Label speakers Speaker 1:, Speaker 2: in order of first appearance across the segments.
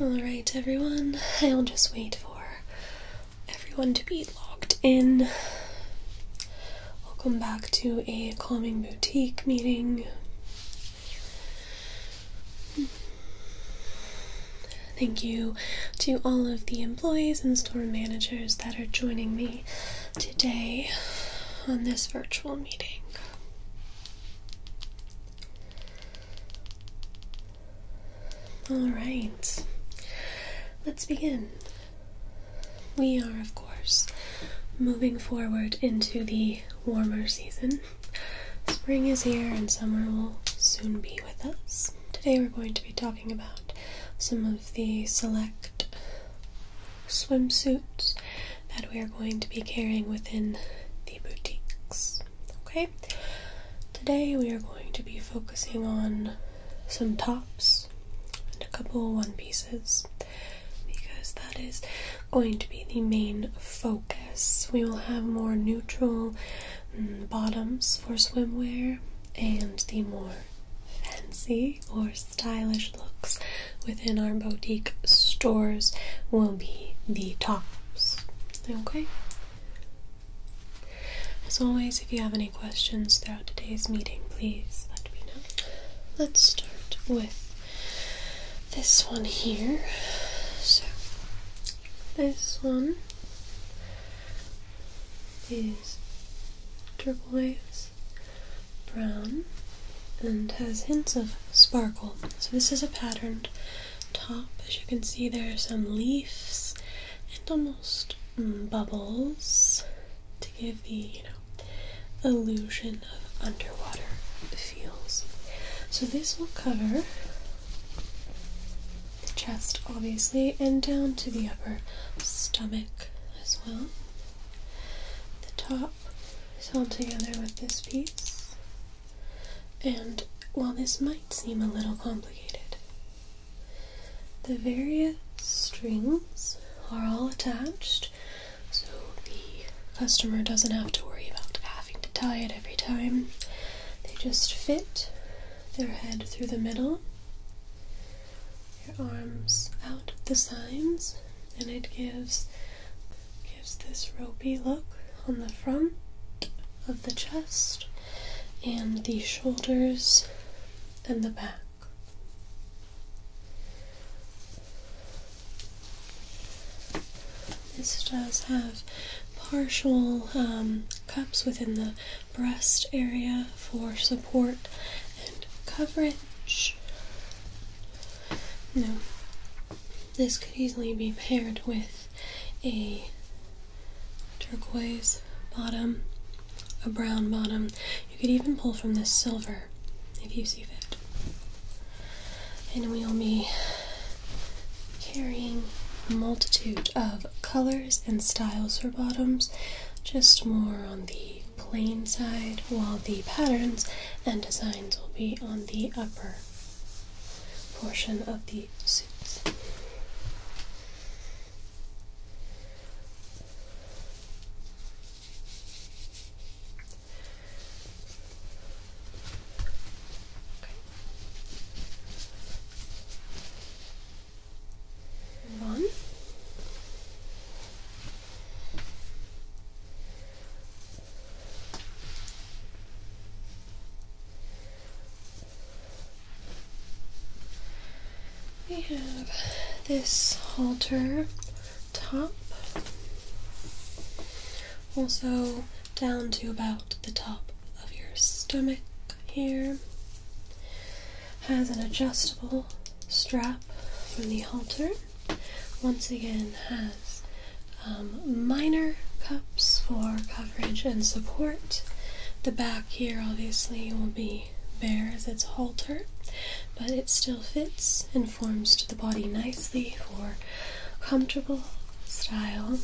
Speaker 1: Alright, everyone, I'll just wait for everyone to be logged in. Welcome back to a calming boutique meeting. Thank you to all of the employees and store managers that are joining me today on this virtual meeting. All right, let's begin. We are, of course, moving forward into the warmer season. Spring is here and summer will soon be with us. Today we're going to be talking about some the select swimsuits that we are going to be carrying within the boutiques. Okay, today we are going to be focusing on some tops and a couple one pieces because that is going to be the main focus. We will have more neutral mm, bottoms for swimwear and the more fancy or stylish looks within our boutique stores will be the tops. Okay? As always, if you have any questions throughout today's meeting, please let me know. Let's start with this one here. So, this one is triple turquoise brown and has hints of sparkle. So this is a patterned top. As you can see, there are some leaves and almost bubbles to give the you know illusion of underwater feels. So this will cover the chest, obviously, and down to the upper stomach as well. The top is held together with this piece. And while this might seem a little complicated, the various strings are all attached so the customer doesn't have to worry about having to tie it every time. They just fit their head through the middle your arms out at the sides and it gives gives this ropey look on the front of the chest and the shoulders and the back. This does have partial um, cups within the breast area for support and coverage. Now, this could easily be paired with a turquoise bottom, a brown bottom. You could even pull from this silver if you see fit. And we'll be carrying a multitude of colors and styles for bottoms just more on the plain side, while the patterns and designs will be on the upper portion of the suits one we have this halter top also down to about the top of your stomach here has an adjustable strap from the halter. Once again, has um, minor cups for coverage and support. The back here obviously will be bare as its halter, but it still fits and forms to the body nicely for comfortable style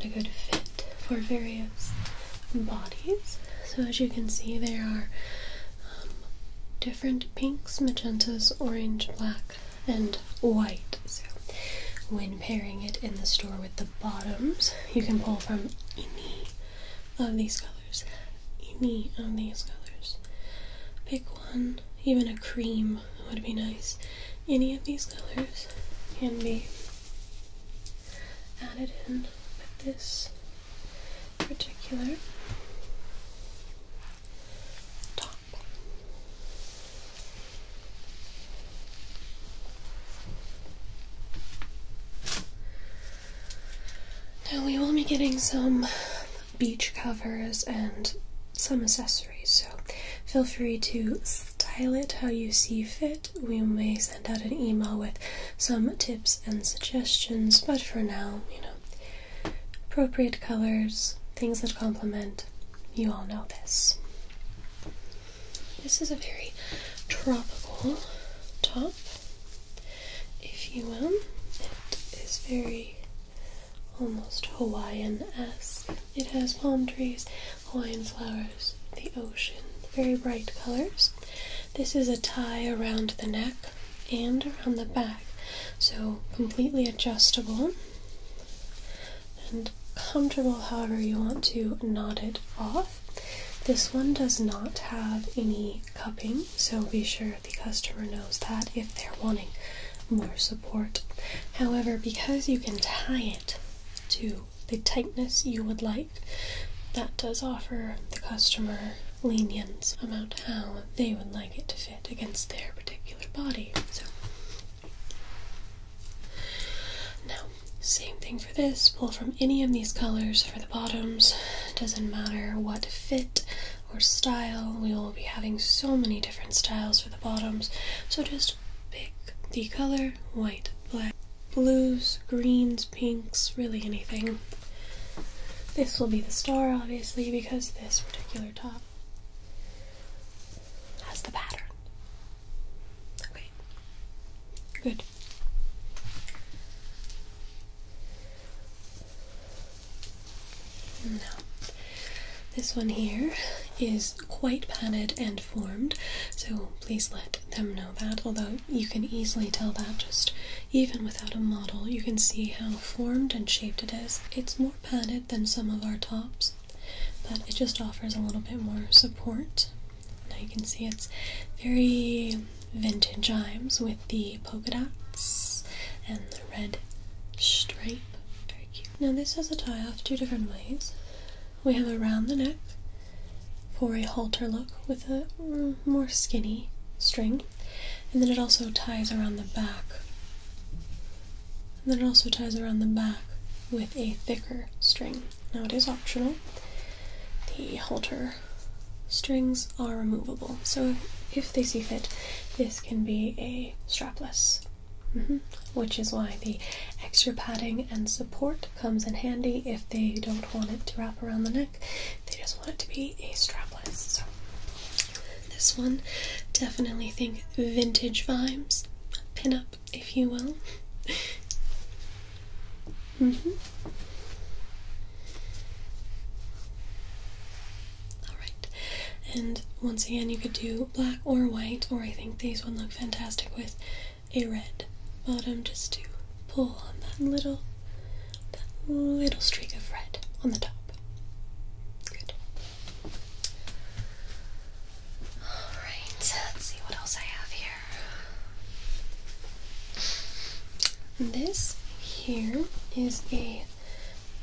Speaker 1: and a good fit for various bodies. So, as you can see, there are um, different pinks, magentas, orange, black, and white. So, when pairing it in the store with the bottoms, you can pull from any of these colors. Any of these colors. Pick one, even a cream would be nice. Any of these colors can be added in with this particular top. Now we will be getting some beach covers and some accessories, so feel free to style it how you see fit. We may send out an email with some tips and suggestions, but for now, you know, appropriate colors, things that complement, you all know this. This is a very tropical top, if you will. It is very almost Hawaiian esque. It has palm trees, Hawaiian flowers, the ocean, very bright colors. This is a tie around the neck and around the back, so completely adjustable and comfortable however you want to knot it off. This one does not have any cupping, so be sure the customer knows that if they're wanting more support. However, because you can tie it to the tightness you would like, that does offer the customer lenience about how they would like it to fit against their particular body. So now, same thing for this. Pull from any of these colors for the bottoms. Doesn't matter what fit or style. We will be having so many different styles for the bottoms. So just pick the color white, black, blues, greens, pinks, really anything. This will be the star, obviously, because this particular top has the pattern. Okay, good. Now, this one here is quite padded and formed, so please let them know that. Although you can easily tell that just even without a model. You can see how formed and shaped it is. It's more padded than some of our tops, but it just offers a little bit more support. Now you can see it's very vintage chimes with the polka dots and the red stripe. Very cute. Now this has a tie off two different ways. We have around the neck for a halter look with a more skinny string. And then it also ties around the back. And then it also ties around the back with a thicker string. Now it is optional. The halter strings are removable. So if they see fit, this can be a strapless, mm-hmm. which is why the extra padding and support comes in handy if they don't want it to wrap around the neck. They just want it to be a strapless. So this one definitely think vintage vibes, pin up if you will. -hmm. Alright, and once again, you could do black or white, or I think these would look fantastic with a red bottom just to pull on that little that little streak of red on the top. Good. Alright, let's see what else I have here. This here is a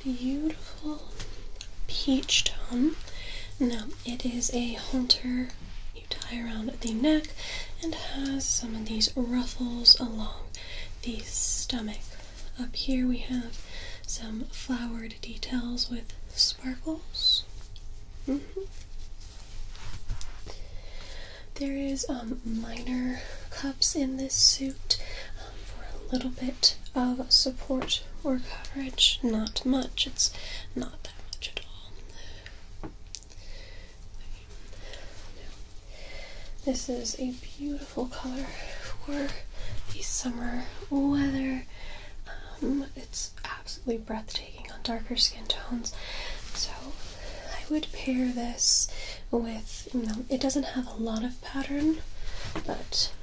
Speaker 1: beautiful peach tone. Now it is a hunter you tie around the neck and has some of these ruffles along the stomach. Up here we have some flowered details with sparkles. Mm-hmm. There is um, minor cups in this suit um, for a little bit of support or coverage. Not much, it's not that much at all this is a beautiful color for the summer weather. Um, it's absolutely breathtaking on darker skin tones. So I would pair this with, it doesn't have a lot of pattern, but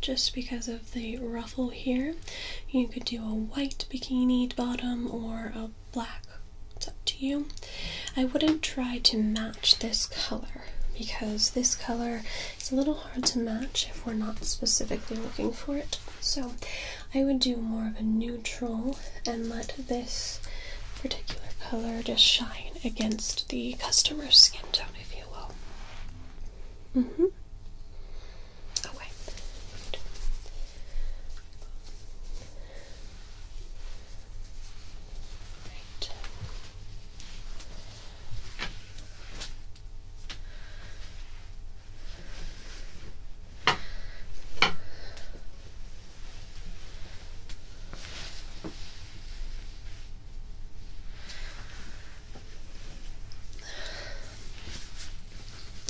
Speaker 1: just because of the ruffle here, you could do a white bikini bottom or a black. It's up to you. I wouldn't try to match this color because this color is a little hard to match if we're not specifically looking for it. So I would do more of a neutral and let this particular color just shine against the customer's skin tone, if you will. Mm hmm. Okay.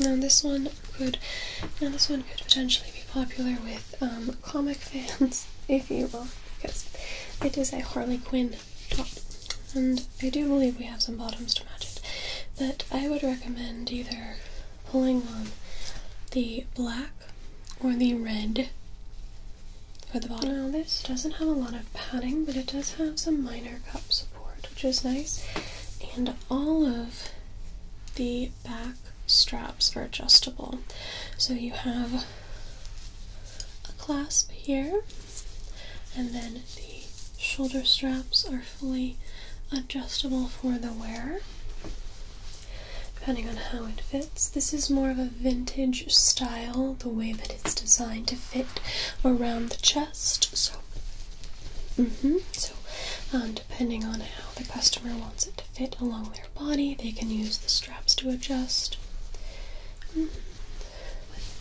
Speaker 1: Now, this one could, now this one could potentially be popular with um, comic fans, if you will, because it is a Harley Quinn top, and I do believe we have some bottoms to match it. But I would recommend either pulling on the black or the red for the bottom. Now this doesn't have a lot of padding, but it does have some minor cup support, which is nice. And all of the back straps are adjustable. So you have a clasp here, and then the shoulder straps are fully adjustable for the wearer. Depending on how it fits, this is more of a vintage style, the way that it's designed to fit around the chest. Mm-hmm. So, um, depending on how the customer wants it to fit along their body, they can use the straps to adjust. Mm-hmm.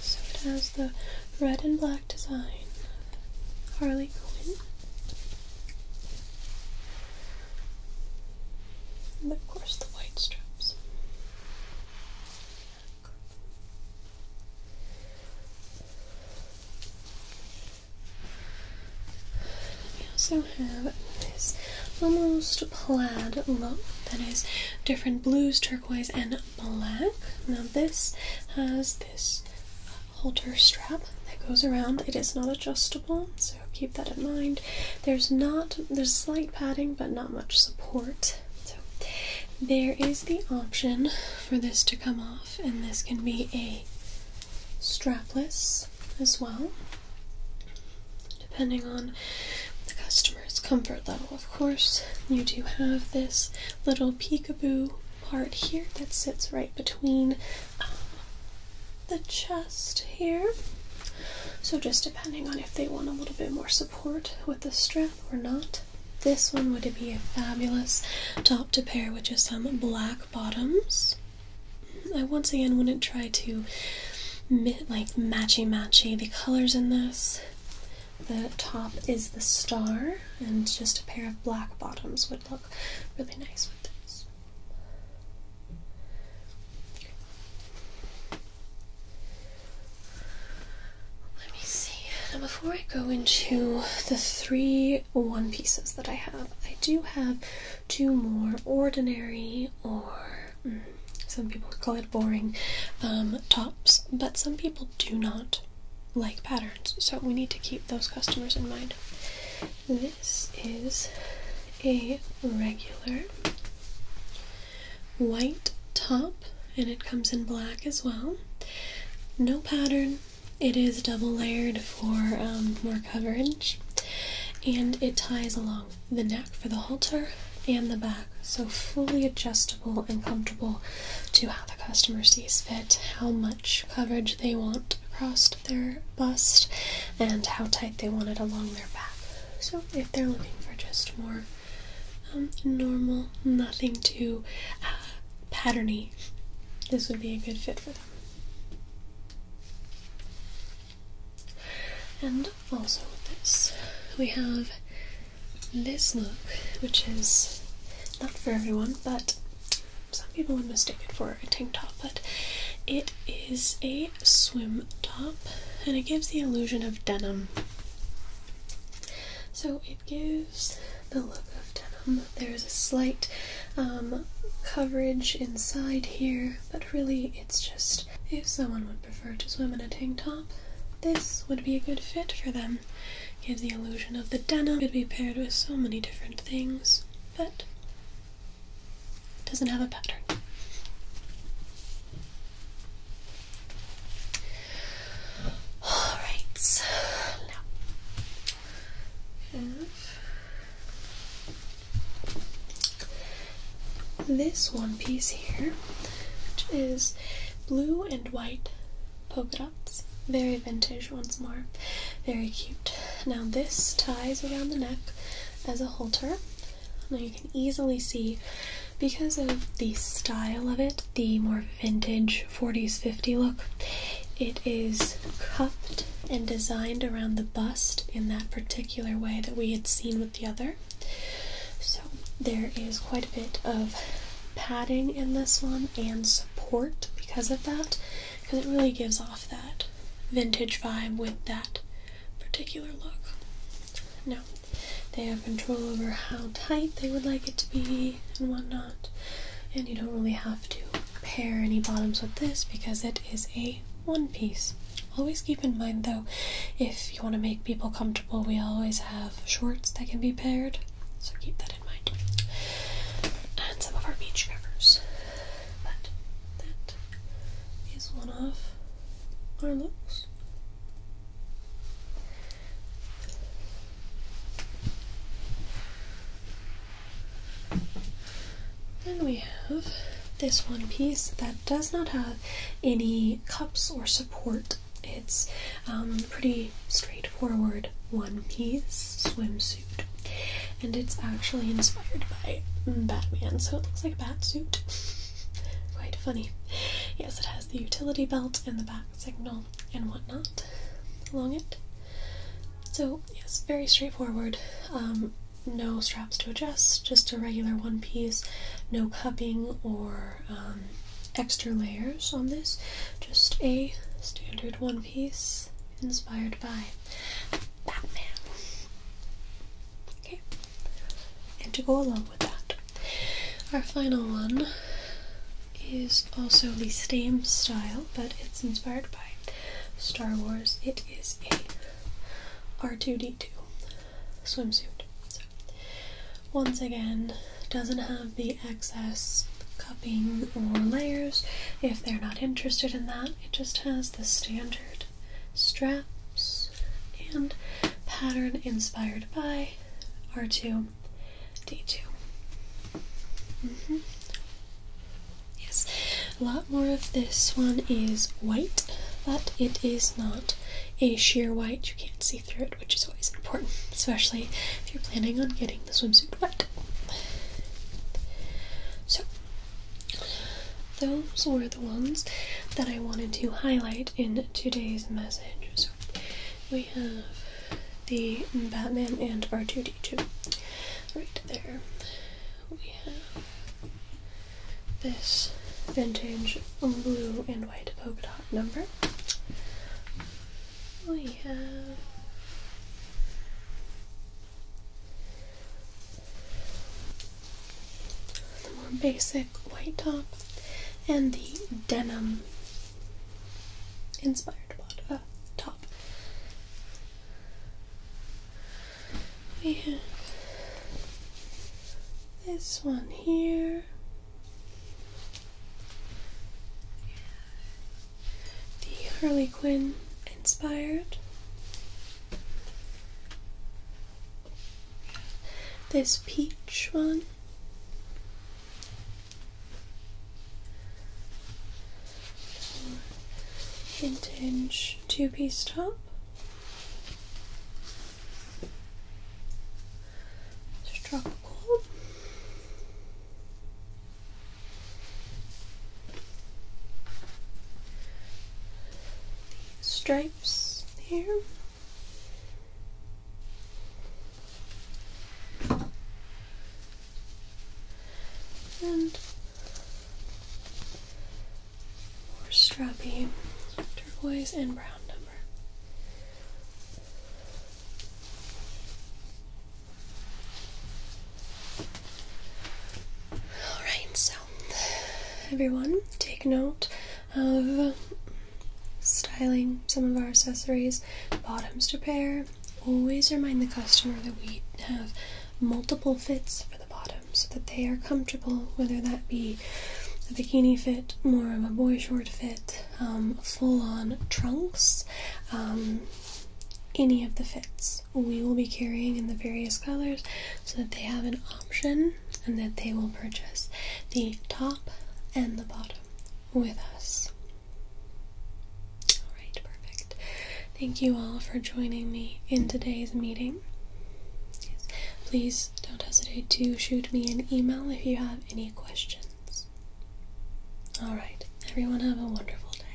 Speaker 1: So it has the red and black design, Harley Quinn. And of course, the white straps. We also have this almost plaid look that is different blues, turquoise, and black. Now, this has this halter strap that goes around. It is not adjustable, so keep that in mind. There's not, there's slight padding, but not much support. So, there is the option for this to come off, and this can be a strapless as well, depending on the customer's comfort level. Of course, you do have this little peekaboo part here that sits right between um, the chest here. So, just depending on if they want a little bit more support with the strap or not, this one would be a fabulous top to pair with just some black bottoms. I once again wouldn't try to like matchy matchy the colors in this. The top is the star, and just a pair of black bottoms would look really nice with this. Let me see. Now, before I go into the three one pieces that I have. I do have two more ordinary, or mm, some people call it boring, um, tops, but some people do not like patterns, so we need to keep those customers in mind. This is a regular white top, and it comes in black as well. No pattern, it is double layered for um, more coverage and it ties along the neck for the halter and the back, so fully adjustable and comfortable to how the customer sees fit, how much coverage they want across their bust, and how tight they want it along their back. So if they're looking for just more um, normal, nothing too uh, patterny, this would be a good fit for them. And also with this, we have this look, which is not for everyone, but some people would mistake it for a tank top, but it is a swim top and it gives the illusion of denim. So it gives the look of denim. There is a slight um, coverage inside here, but really it's just if someone would prefer to swim in a tank top, this would be a good fit for them. Gives the illusion of the denim. Could be paired with so many different things, but doesn't have a pattern. Alright, now have this one piece here, which is blue and white polka dots. Very vintage once more. Very cute. Now this ties around the neck as a halter. Now you can easily see because of the style of it, the more vintage 40s 50 look. It is cupped and designed around the bust in that particular way that we had seen with the other. So there is quite a bit of padding in this one and support because of that, because it really gives off that vintage vibe with that particular look. Now, they have control over how tight they would like it to be and whatnot, and you don't really have to pair any bottoms with this because it is a one piece. Always keep in mind though, if you want to make people comfortable, we always have shorts that can be paired, so keep that in mind. And some of our beach covers. But that is one of our looks. Then we have this one piece that does not have any cups or support. It's um, pretty straightforward one piece swimsuit. And it's actually inspired by Batman, so it looks like a bat suit. Quite funny. Yes, it has the utility belt and the bat signal and whatnot along it. So, yes, very straightforward. Um, no straps to adjust, just a regular one piece, no cupping or um, extra layers on this, just a standard one piece inspired by Batman. Okay, and to go along with that, our final one is also the same style, but it's inspired by Star Wars. It is a R2D2 swimsuit. once again, doesn't have the excess cupping or layers if they're not interested in that. It just has the standard straps and pattern inspired by R2 D2. Mm-hmm. Yes, a lot more of this one is white, but it is not a sheer white. You can't see through it, which is always important, especially if you're planning on getting the swimsuit wet. So, those were the ones that I wanted to highlight in today's message we have the Batman and R2D2 right there. We have this vintage blue and white polka dot number. We have the more basic white top and the denim inspired bottom, top. We have this one here. The Harley Quinn inspired. This peach one vintage two-piece top. It's tropical. Stripes here and more strappy turquoise and brown number. Alright, so everyone, take note of styling some of our accessories, bottoms to pair always remind the customer that we have multiple fits for the bottom so that they are comfortable, whether that be a bikini fit, more of a boy short fit, um, full on trunks, um, any of the fits. We will be carrying in the various colors so that they have an option and that they will purchase the top and the bottom with us. Alright, perfect. Thank you all for joining me in today's meeting. Please don't hesitate to shoot me an email if you have any questions. Alright, everyone have a wonderful day.